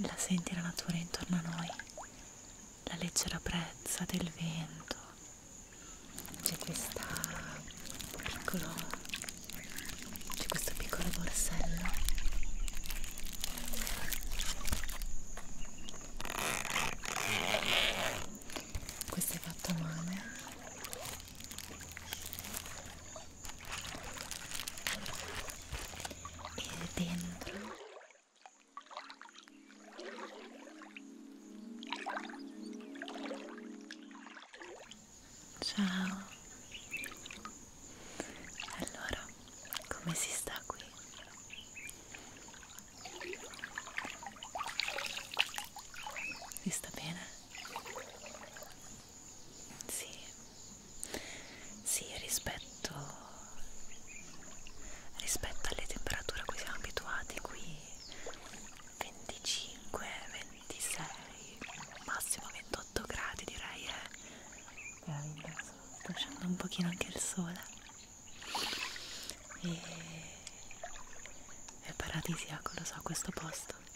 La senti la natura intorno a noi, la leggera brezza del vento, c'è questa piccolo, c'è questo piccolo borsello. Questo è fatto male e dentro ciao allora come si sta qui si sta bene sì, sì rispetto, rispetto alle temperature a cui siamo abituati qui, 25, 26, massimo 28 gradi direi è eh. meraviglioso, sta uscendo un pochino anche il sole e è paradisiaco, ecco, lo so, questo posto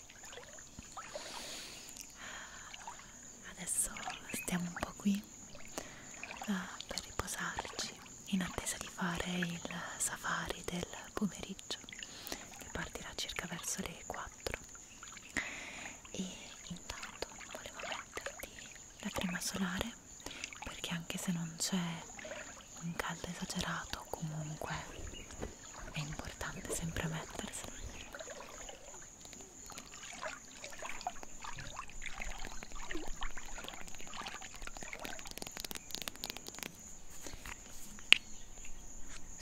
Adesso stiamo un po' qui uh, per riposarci in attesa di fare il safari del pomeriggio che partirà circa verso le 4 e intanto volevo metterti la crema solare perché anche se non c'è un caldo esagerato comunque è importante sempre mettersela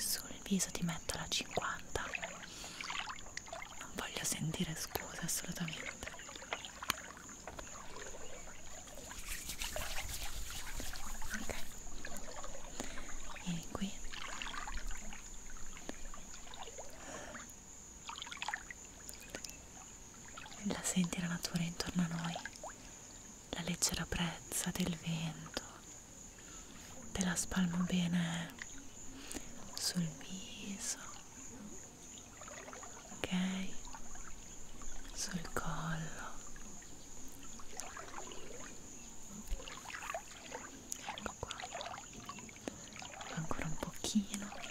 sul viso ti metto la 50 non voglio sentire scuse assolutamente ok vieni qui la senti la natura intorno a noi la leggera brezza del vento te la spalmo bene sul viso ok sul collo ecco qua ancora un pochino meno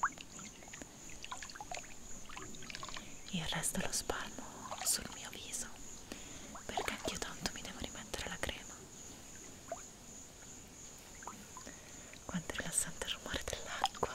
e meno il resto lo spalmo sul mio viso perché anch'io tanto mi devo rimettere la crema quanto è rilassante il rumore dell'acqua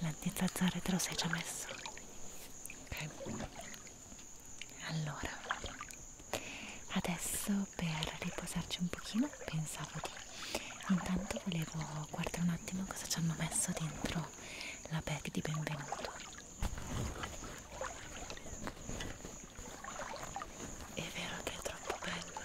l'antizzazare te lo sei già messo ok allora adesso per riposarci un pochino pensavo di intanto volevo guardare un attimo cosa ci hanno messo dentro la bag di benvenuto è vero che è troppo bella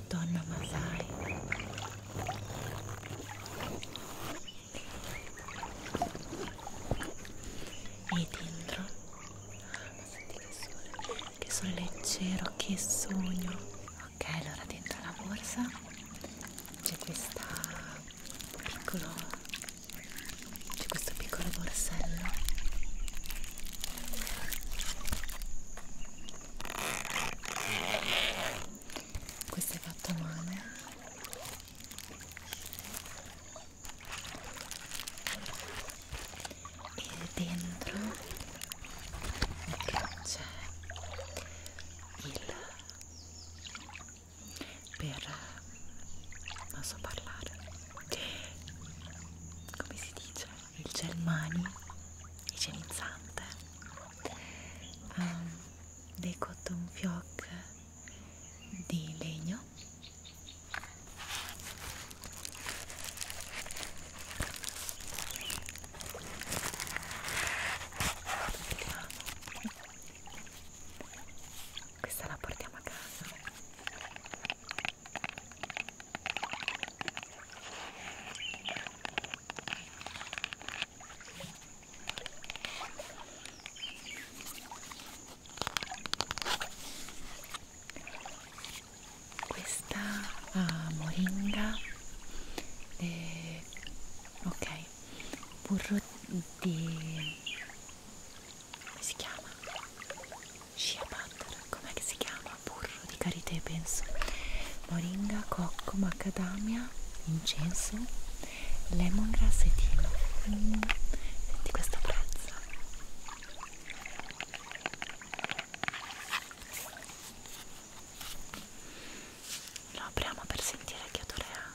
una donna Masai. E dentro, ma senti che sole, che sole leggero, che sogno. Ok, allora dentro la borsa c'è questa piccolo, c'è questo piccolo borsello questo è fatto a mano e dentro c'è il per non so parlare come si dice il gel mani igienizzante um, ehm, dei cotton fioc di legno Vediamo. questa la portiamo a casa questa ah, moringa eh, ok burro di come si chiama? Shea butter, com'è che si chiama? burro di karité penso moringa, cocco, macadamia, incenso, lemongrass e timo mm. senti questa prezza lo apriamo per sentire che odore ha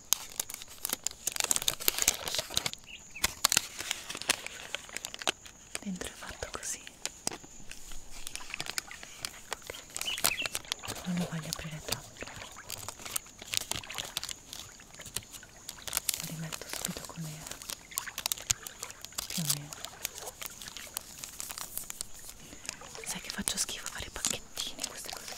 dentro è fatto così non lo voglio aprire troppo lo rimetto subito com'era più o meno sai che faccio schifo fare i pacchettini queste cose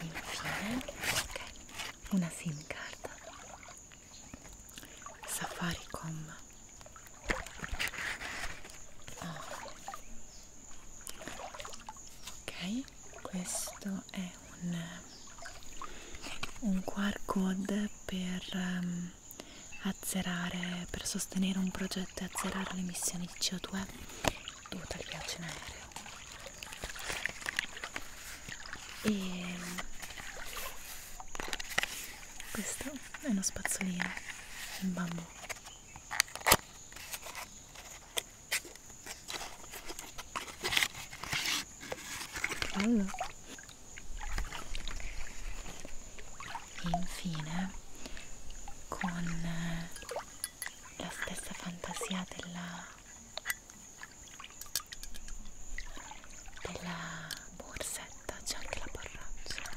Infine, okay, una sim card Safaricom. Oh. Ok, ok questo è un, un QR code per um, azzerare per sostenere un progetto e azzerare le emissioni di CO2 dovute al viaggio in aereo e questo è uno spazzolino in bambù Bello. E infine con eh, la stessa fantasia della, della borsetta c'è anche la borraccia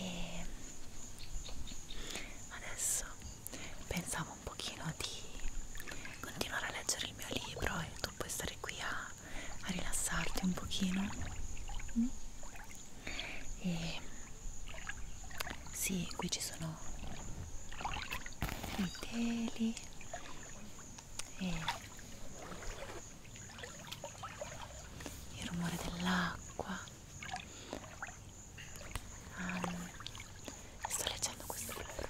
E adesso pensavo un pochino di continuare a leggere il mio libro e tu puoi stare qui a, a rilassarti un pochino. Mm? E sì, qui ci sono i teli e il rumore dell'acqua. Um, sto leggendo questo libro.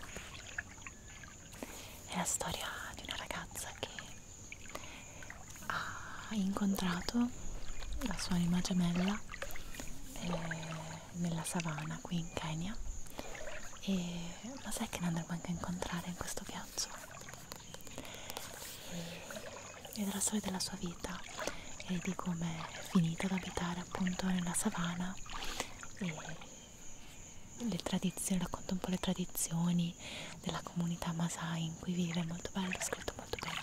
È la storia di una ragazza che ha incontrato la sua anima gemella. E eh, nella savana qui in Kenya e ma sai che ne andremo anche a incontrare in questo viaggio e della storia della sua vita e di come è finito ad abitare appunto nella savana e le tradizioni, racconta un po' le tradizioni della comunità Masai in cui vive, molto bello, scritto molto bene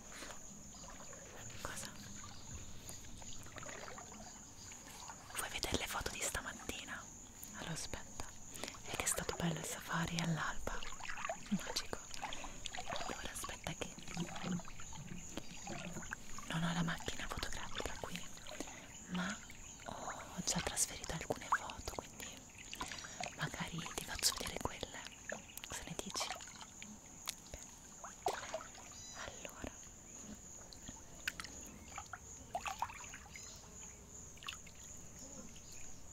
sono buffo. Cosa? Vuoi vedere le foto di stamattina? Allora aspetta, è che è stato bello il safari all'alba. Magico. Allora aspetta che... Non ho la macchina fotografica qui, ma ho già trasferito alcune foto, quindi magari ti faccio vedere quelle. Cosa ne dici? allora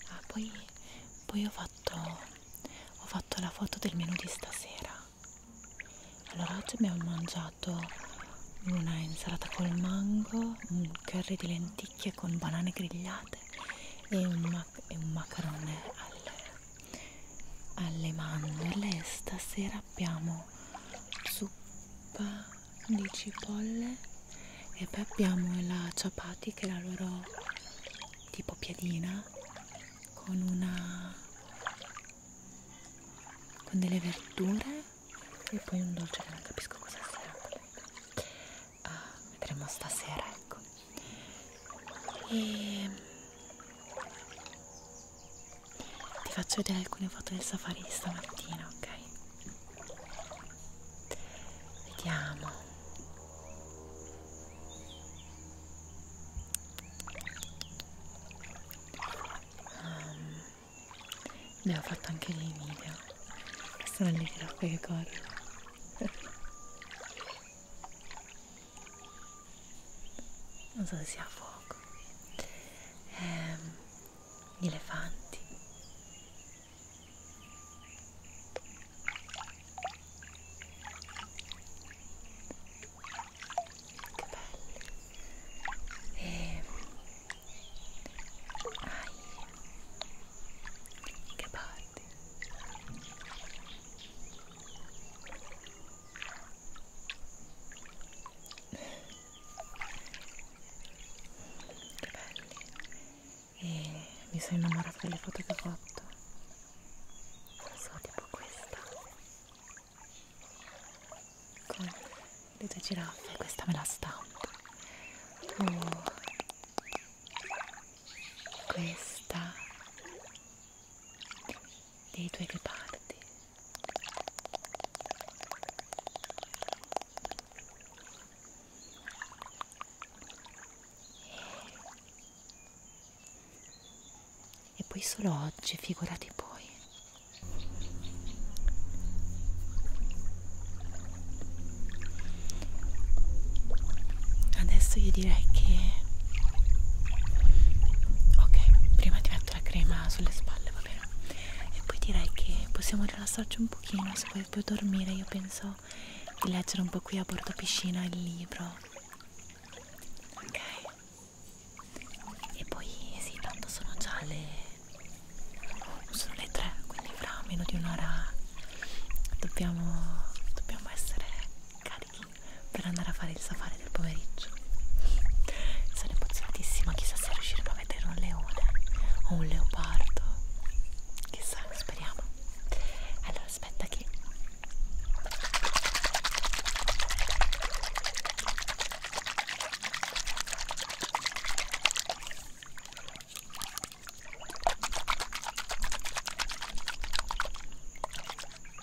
ah, poi, poi ho fatto ho fatto la foto del menù di stasera allora oggi abbiamo mangiato una insalata col mango un curry di lenticchie con banane grigliate e un, mac e un macarone al alle mandorle stasera abbiamo zuppa di cipolle e poi abbiamo la ciapati che è la loro tipo piadina con una con delle verdure e poi un dolce che non capisco cosa sia uh, vedremo stasera ecco e ti faccio vedere alcune foto del safari di stamattina ok vediamo um, ne ho fatto anche dei video sono le grappe che corrono non so se sia a fuoco eh, gli elefanti che belli e ehm, ai che parti che belli e mi sono innamorata delle foto che ho fatto non so tipo questa con le due giraffe questa me la stampo oh. questa dei due riparti e poi solo oggi, figurati poi. Adesso io direi che... Ok, prima di mettere fatto la crema sulle spalle, va bene. E poi direi che possiamo rilassarci un pochino, se vuoi più dormire io penso di leggere un po' qui a bordo piscina il libro. Ok. E poi sì, tanto sono già le... sono le tre, quindi fra meno di un'ora dobbiamo, dobbiamo essere carichi per andare a fare il safari del pomeriggio sono emozionatissima chissà se riusciremo a vedere un leone o un leopardo chissà speriamo allora aspetta che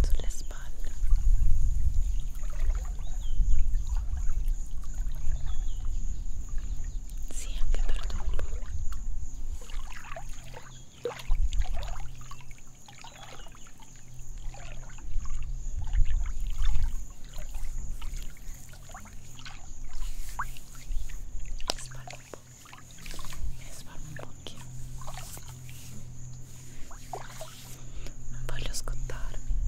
sulle spalle sì anche per dopo spalle un po' e sfarmo un pochino non voglio scottarmi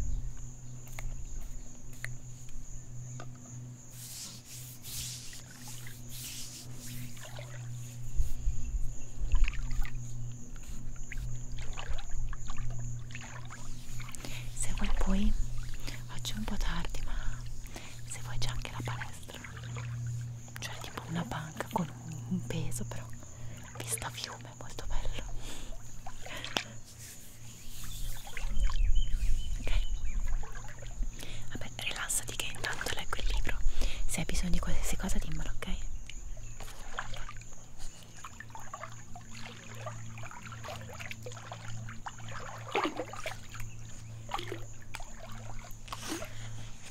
se vuoi poi oggi è un po' tardi ma se vuoi c'è anche la palestra cioè tipo una banca con un peso però vista fiume molto bello ok vabbè rilassati che intanto leggo il libro se hai bisogno di qualsiasi cosa dimmelo ok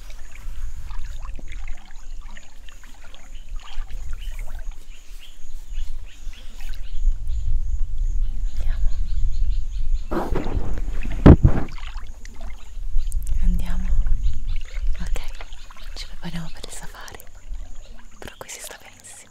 Andiamo. Andiamo. Ok, ci prepariamo per il safari. Però qui si sta benissimo.